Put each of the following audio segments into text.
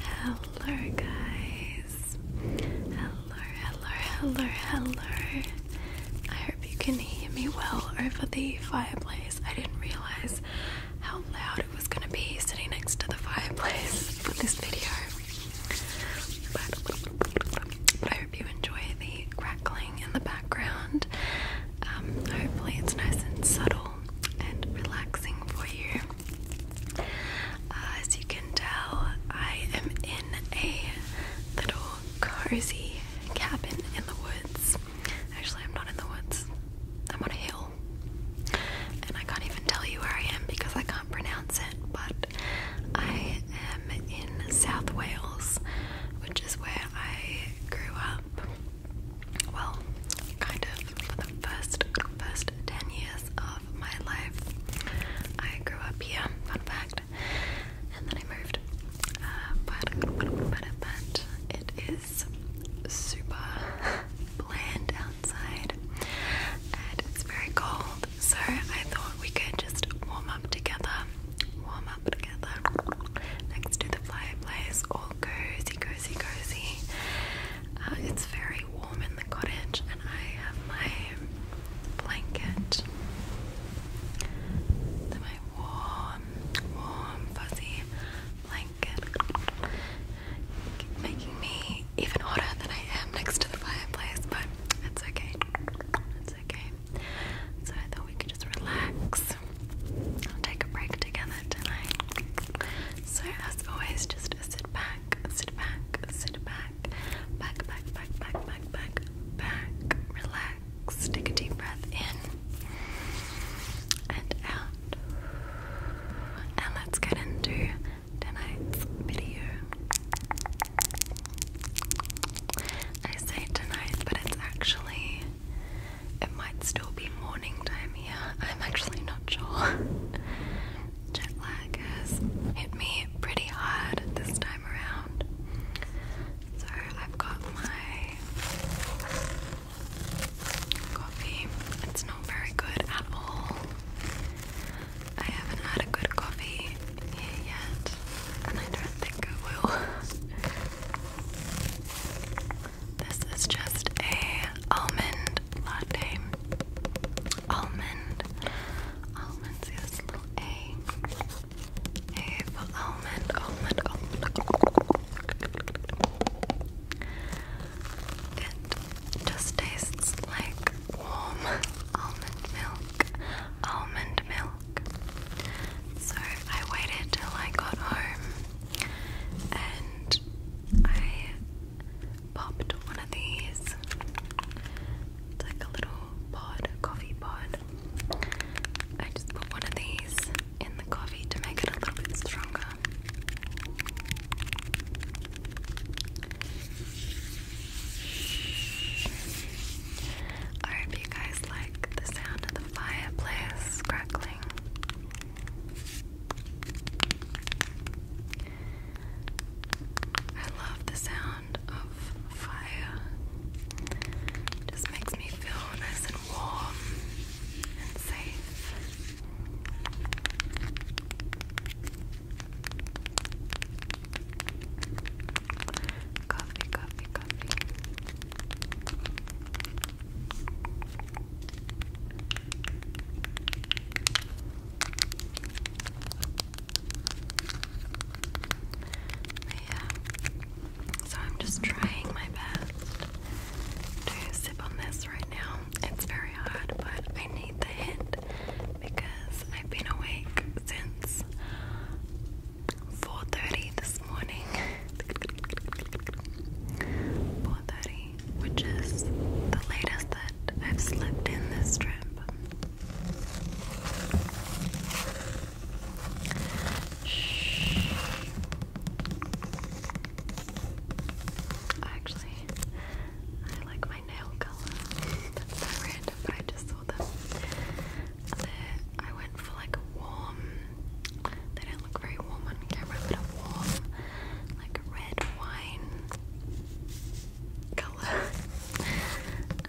Hello, guys. Hello, hello, hello, hello. I hope you can hear me well over the fireplace. I didn't realize how loud it was going to be sitting next to the fireplace for this video. But, I hope you enjoy the crackling in the background. Um, hopefully, it's nice and subtle and relaxing for you. Uh, as you can tell, I am in a little cozy cabin in the woods. Actually, I'm not in the woods, I'm on a hill. And I can't even tell you where I am because I can't pronounce it, but I am in South Wales, which is where I grew up. Well, kind of for the first first ten years of my life. I grew up here, fun fact, and then I moved. Uh, but, but, but it is super bland outside and it's very cold, so I thought we could just warm up together. Warm next to the fireplace, all cozy, cozy, cozy. Uh, it's very warm in the cottage, and I have my blanket my warm, warm, fuzzy blanket, making me even hotter than I am next to the fireplace, but it's okay. It's okay. So I thought we could just relax and take a break together tonight. So as always, just sit back, sit back, sit back, back, back, back, back, back, back, relax, take a deep breath in and out. And let's get into tonight's video. I say tonight, but it's actually it might still be morning time here. I'm actually not sure. Jet lag has hit me pretty hard this time around. So I've got my coffee. It's not very good at all. I haven't had a good coffee yet, and I don't think I will. this is just a almond latte. Almond. Almonds, yes, A. A for almond, almond, almond. It just tastes like warm almond milk. Almond milk. So I waited till I got home and I popped one of these. It's like a little pod, coffee pod. I just put one of these in the coffee to make it a little bit stronger. I hope you guys like the sound of the fireplace crackling. I love the sound of fire. just makes me feel nice and warm and safe. Coffee, coffee, coffee. yeah, so I'm just trying my best to sip on this right now. It's very hard, but I need the hint because. I've been awake since 4.30 this morning 4.30, which is the latest that I've slept in this trip Shh. Actually, I like my nail color. That's so random, but I just I went for like a warm, they don't look very warm on camera, but a warm, like red wine colour.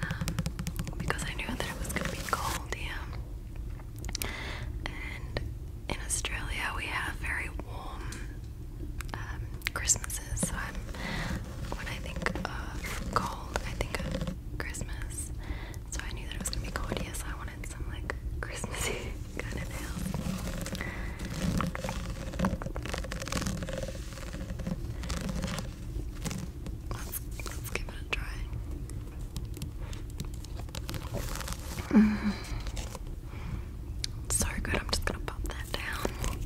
Um, because I knew that it was going to be cold here. And in Australia we have very warm um, Christmases. So I'm, when I think of cold, I think of Christmas. So I knew that it was gonna be cold, so I wanted some like Christmassy kind of nails. Let's, give it a try. Mm. So good, I'm just gonna pop that down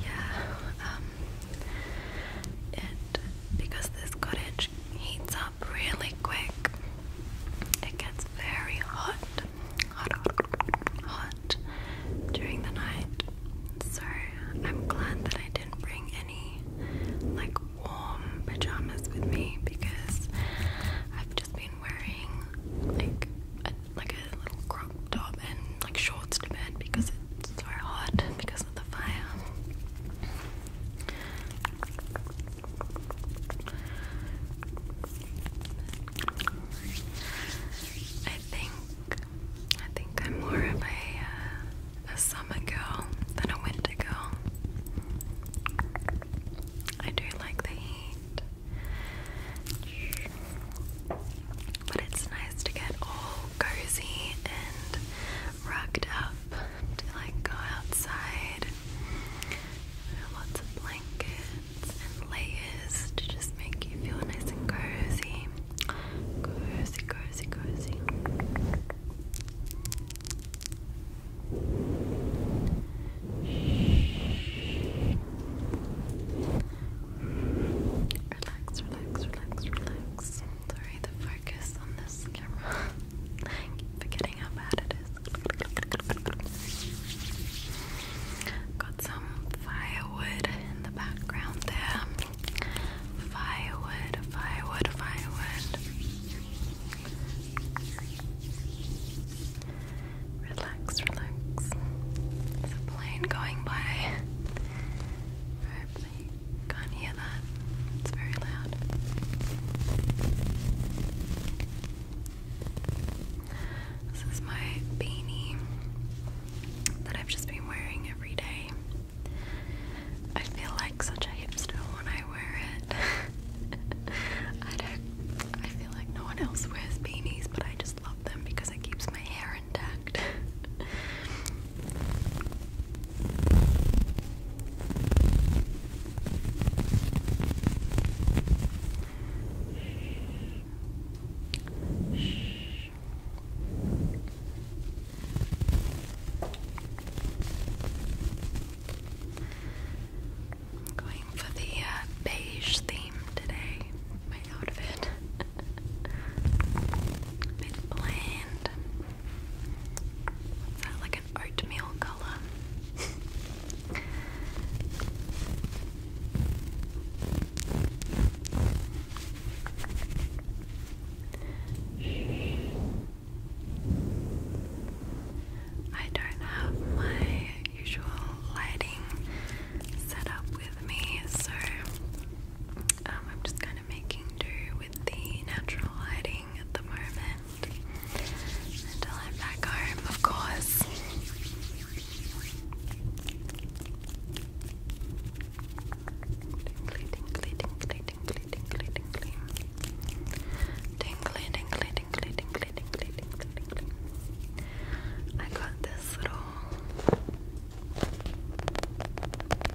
yeah, um it because this cottage heats up really quick. It gets very hot, hot, hot, hot during the night. So I'm glad that I didn't bring any like warm pajamas with me because I've just been wearing like a, like a little crop top and like shorts to bed because it's so hot because of the fire. I think I think I'm more of a uh, a summer girl than a winter girl. I do like the heat. But it's nice to get all cozy and rugged up to like go outside. Lots of blankets and layers to just make you feel nice and cozy. Cozy, cozy, cozy. Relax, relax, relax, relax. Sorry, the focus on this camera. keep forgetting how bad it is. Got some firewood in the background there. Firewood, firewood, firewood. Relax, relax. plane going by. can't hear that. It's very loud. This is my beanie that I've just been wearing every day. I feel like such a hipster when I wear it. I don't I feel like no one else wears beanies, but I just love them because it keeps my hair intact. Shh. I'm going for the uh, beige theme today, my outfit. A bland. What's like an oatmeal color? I don't have my usual lighting set up with me, so um, I'm just kind of making do with the natural lighting at the moment until I'm back home, of course. Tingly, tingly, tingly, tingly, tingly, tingly. Tingly, tingly, tingly, tingly, tingly, tingly, I got this little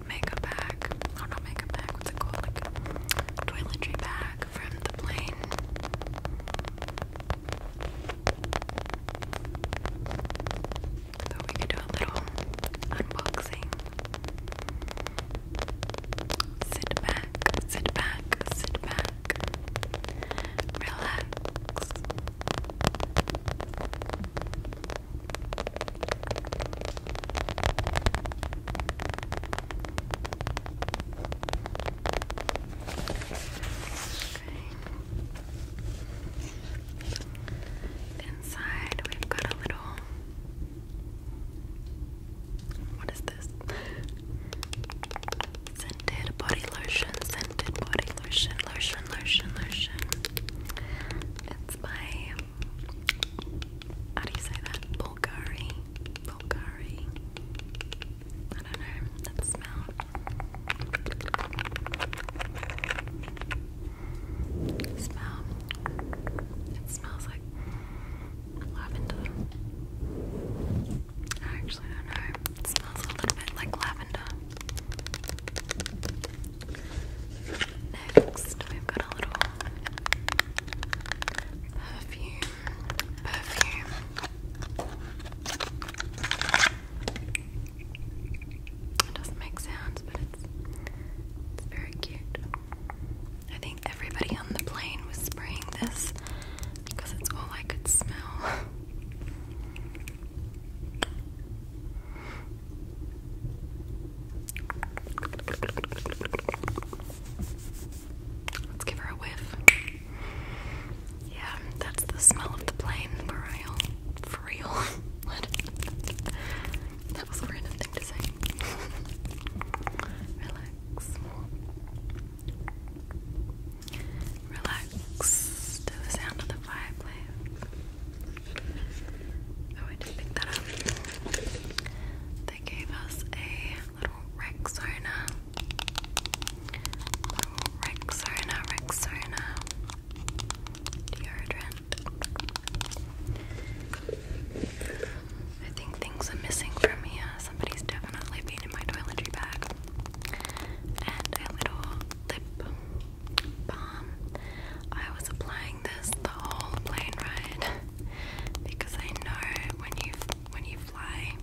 makeup bag. Oh, not makeup bag, what's it called? Like toiletry bag from the plane. So we could do a little unboxing. Sit back, sit back, sit back. Relax. Inside, we've got a little. What is this? Scented body lotion, scented body lotion, lotion, lotion, lotion. It's by. How do you say that? Bulgari. Bulgari. I don't know. That smell. Smell. It smells like lavender. I actually don't know. It smells a little bit like lavender. Next, we've got a little perfume. Perfume. It doesn't make sounds, but it's it's very cute. I think everybody on the plane was spraying this because it's all I could smell. Let's give her a whiff. Yeah, that's the smell of the plane, for Relax. Relax to the sound of the fireplace. Oh, I did pick that up. They gave us a little Rexona. Little Rexona, Rexona deodorant. I think things are missing from here. Somebody's definitely been in my toiletry bag. And a little lip balm. I was applying this the whole plane ride because I know when you when you fly,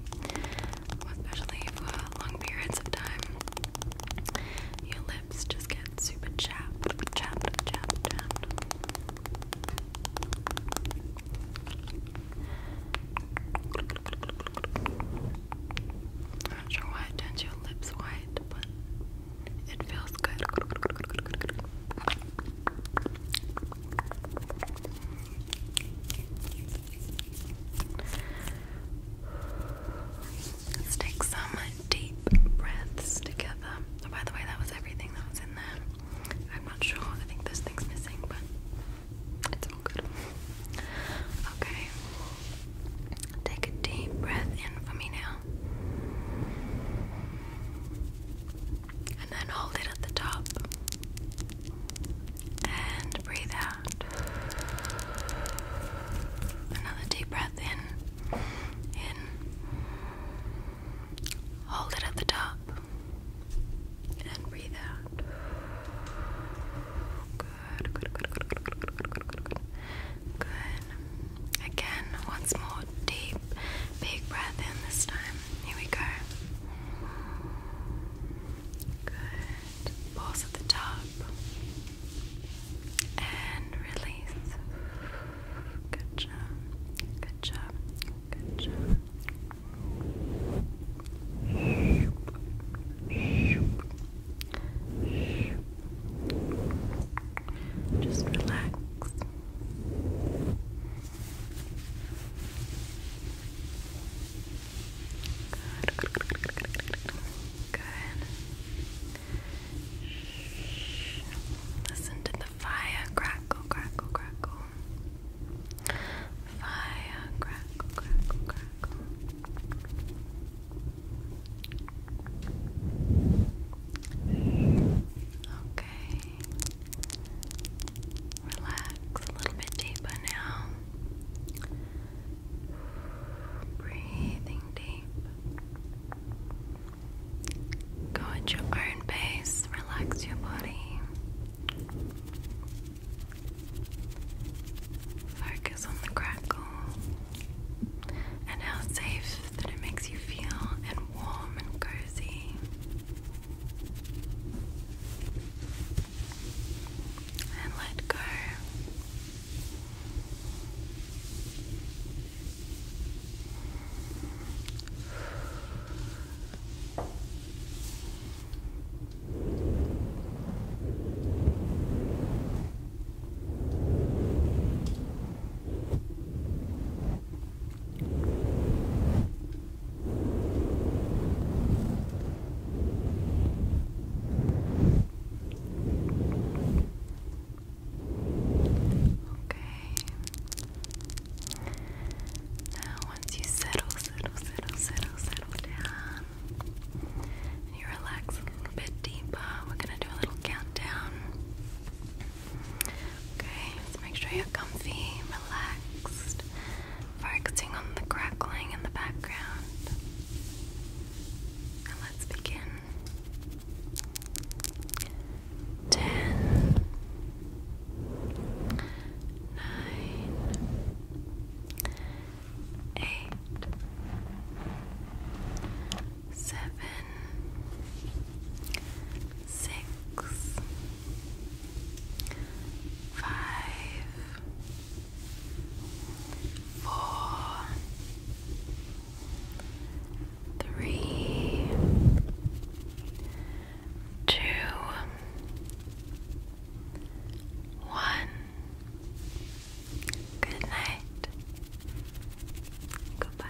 especially for uh, long periods of time, your lips just get super chapped, chapped, chapped, chapped. sure why it turns your lips white, but it feels good take some deep breaths together. Oh, by the way, that was everything that was in there. I'm not sure. I think there's things missing, but it's all good. Okay. Take a deep breath in for me now. And then hold it at the top and breathe out. Another deep breath in, in. Hold it at the top and breathe out. Good, good, good, good, good, good, good, Again, once more, deep, big breath in this time. Here we go. Good. Pause at the top. And release. Good job. Good job. Good job. Just relax. Good. Listen to the fire crackle, crackle, crackle. Fire crackle, crackle, crackle. Okay. Relax a little bit deeper now. Breathing deep. Go at your own pace, relax your body. Focus on the crackle and how safe that it makes you feel, and warm and cozy and let go. Okay. Now, once you settle, settle, settle, settle, settle down, and you relax a little bit deeper, we're gonna do a little countdown. Okay, let make sure you're comfy, relaxed focusing on the crackling in the background. let's begin. Ten, nine, eight, seven, six five, four, three, two, one. Good night. Goodbye.